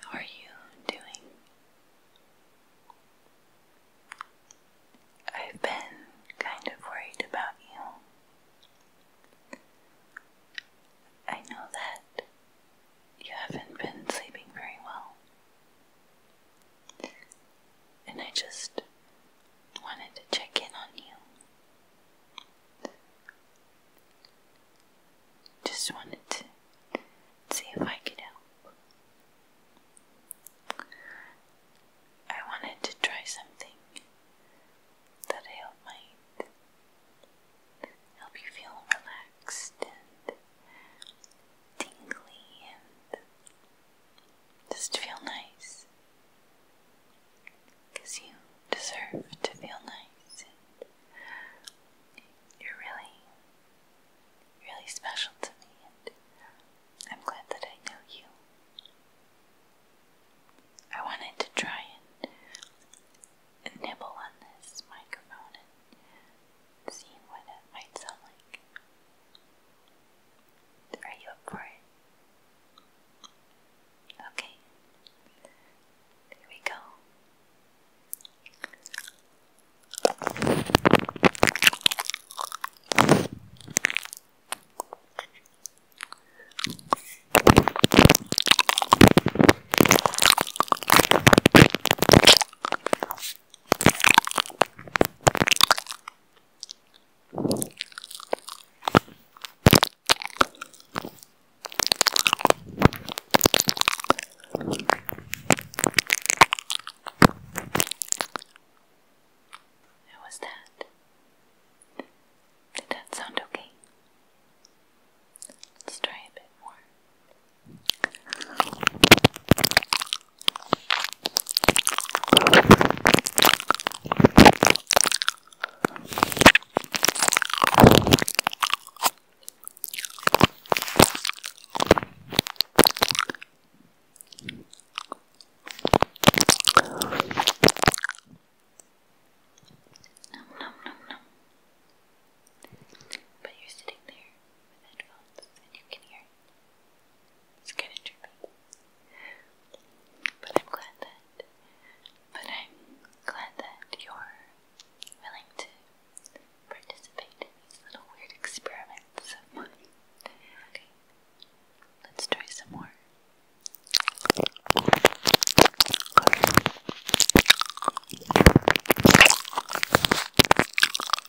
How are you doing? I've been kind of worried about you. I know that you haven't been sleeping very well and I just wanted to check in on you. Just wanted to see if I could help. I wanted to try something that I hope might help you feel relaxed and tingly and just it feel nice? Because you deserve to feel nice, and you're really, really special to me, and I'm glad that I know you. I wanted to try and, nibble on this microphone See what it might sound like. Are you up for it? Okay. Here we go. How was that? Did that sound okay? Let's try a bit more nom, nom, nom. But you're sitting there with headphones and you can hear Alright. It's kind of trippy. But I'm glad that but I'm glad that you're willing to participate in these little weird experiments Okay. Let's try some more.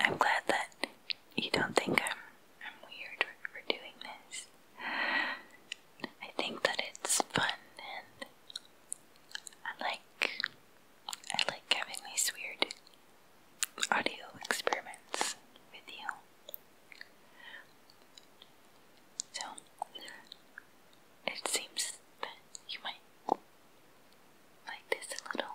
I'm glad that you don't think I'm, weird for doing this. I think that it's fun and I like I like having these weird audio experiments with you. So it seems that you might like this a little.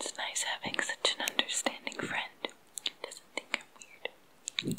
It's nice having such an understanding friend. Doesn't think I'm weird.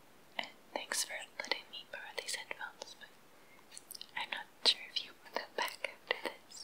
thanks for letting me borrow these headphones, but I'm not sure if you put them back after this.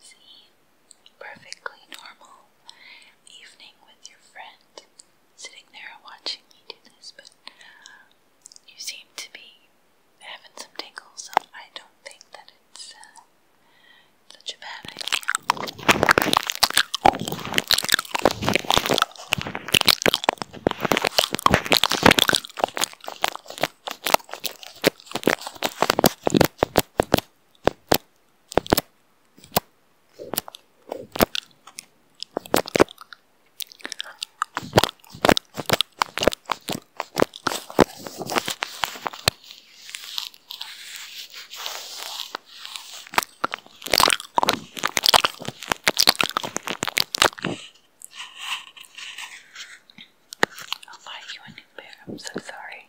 See? Perfectly normal evening with your friend sitting there watching me do this, but you seem to be having some tingles, so I don't think that it's uh, such a bad idea. I'll buy you a new pair. I'm so sorry.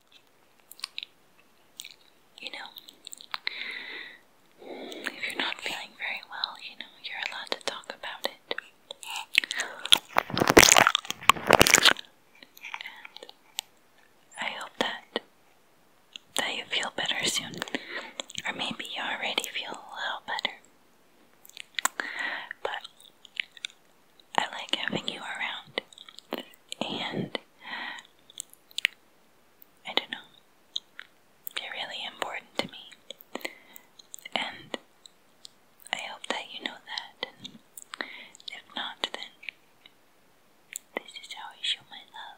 You know, if you're not feeling very well, you know, you're allowed to talk about it. And I hope that that you feel better soon. Or maybe you already feel a little better. But I like having you around. And I don't know, you're really important to me. And I hope that you know that. if not, then this is how I show my love.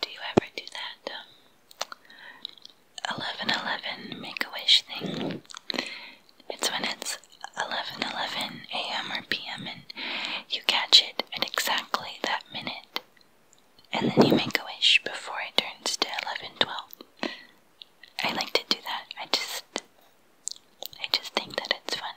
Do you ever do that? 1111 um, make a wish thing. It's when it's 1111 a.m. or p.m. and you catch it at exactly that minute. And then you make a wish before it turns to 1112. I like to do that. I just I just think that it's fun.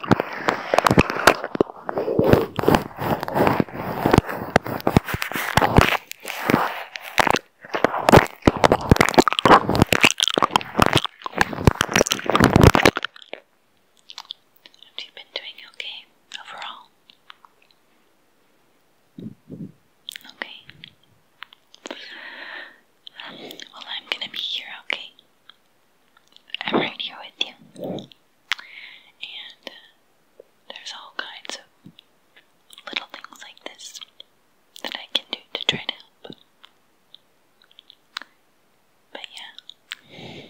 Have you been doing okay overall? Okay. Um, well, I'm gonna be here, okay? I'm right here with you. And uh, there's all kinds of little things like this that I can do to try to help. But yeah.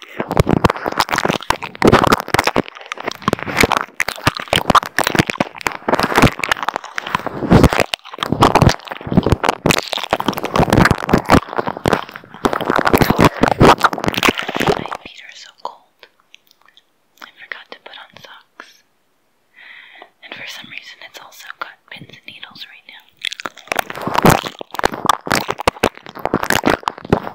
My feet are so cold. I forgot to put on socks. And for some reason, it's also got pins and needles right now.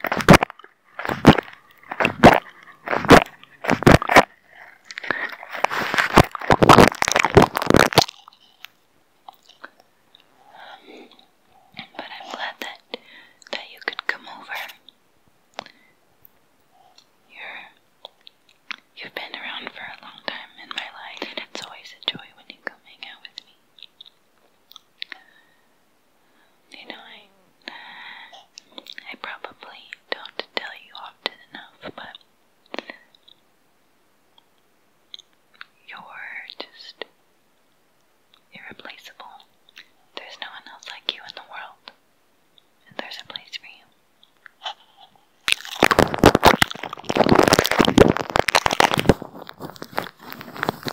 But I'm glad that that you could come over. You're you've been around for a long time in my life, it's always a joy when you come hang out with me. You know, I, I probably don't tell you often enough, but you're just irreplaceable. There's no one else like you in the world, and there's a place for you.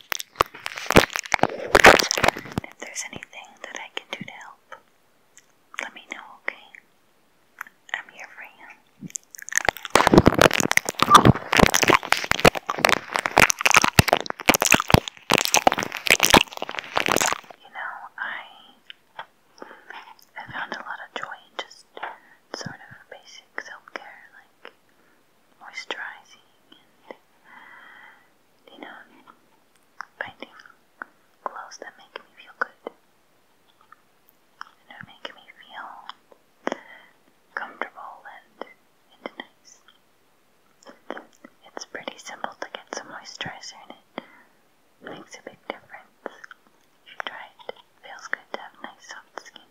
If there's anything that I can do to help, let me know, okay? I'm here for you. You know, I I found a lot of joy in just sort of basic self care, like moisturizing and, you know, painting clothes that make me feel good. And make me feel comfortable and, nice. It's pretty simple to get some moisturizer in it. Makes a big difference. you try it, feels good to have nice soft skin.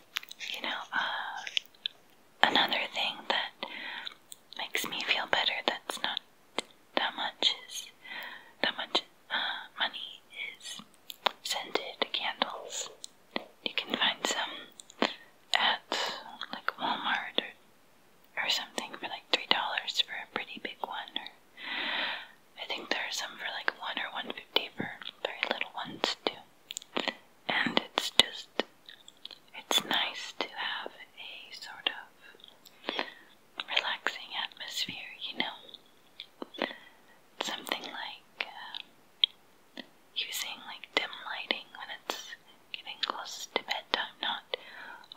you know, uh, another thing that makes me feel better that's not that much is that much uh, money is scented candles. You can find some at like Walmart or, or something for like three dollars for a pretty big one I think there are some for like one or one fifty for very little ones too and it's just, it's nice to have a sort of relaxing atmosphere, you know? Something like uh, using like dim lighting when it's getting close to bedtime, not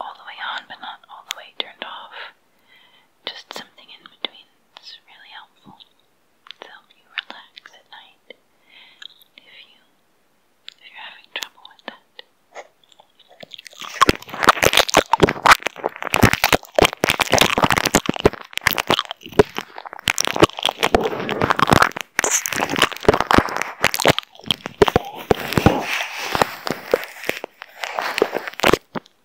all the way on, but not all the way turned off. Just something in between. It's really helpful to help you relax at night if you if you're having trouble with that.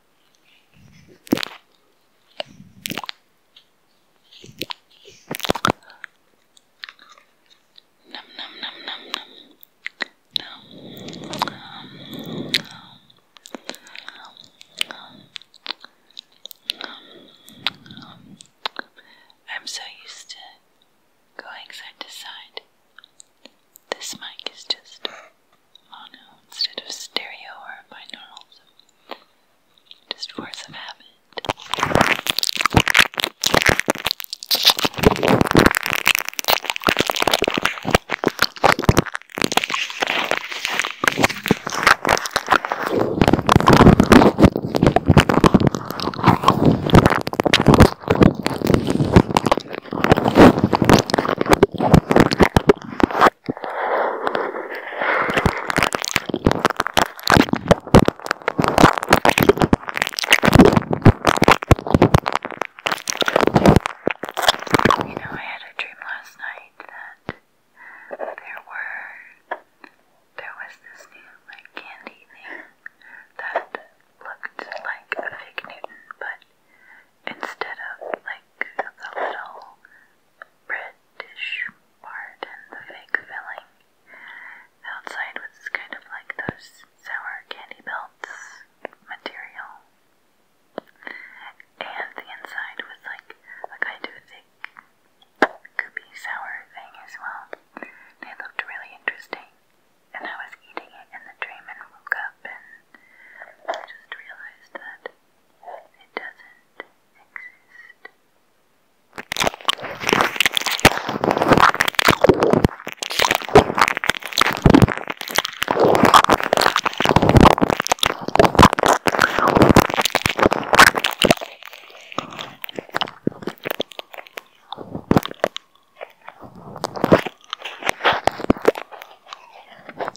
Num num num num num I'm so used to going side to side. This mic is just mono oh, instead of stereo or binaurals. Just force of habit. You know, I had a dream last night that there were there was this new like candy thing that looked like a fig Newton, but instead of like the little British part and the fake filling. outside was kind of like those sour candy belts material. And the inside was like a kind of thick goopy sour thing as well. They looked really interesting. And I was eating it in the dream and woke up up and I just realized that it doesn't exist.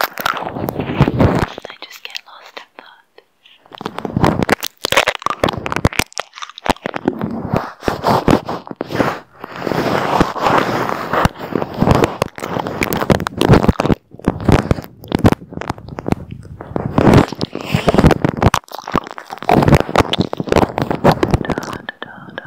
I just get lost in that. Da, da, da, da, da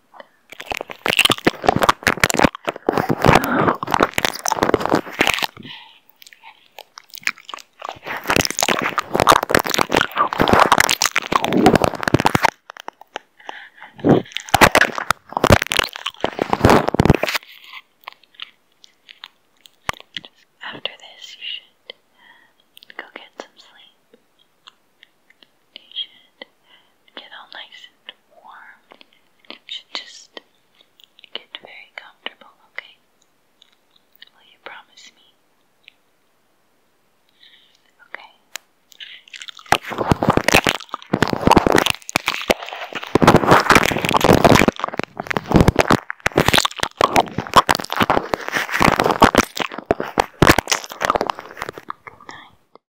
after this, you should go get some sleep. It should get all nice and warm. It should just get very comfortable, okay? Will you promise me? Okay. Good night.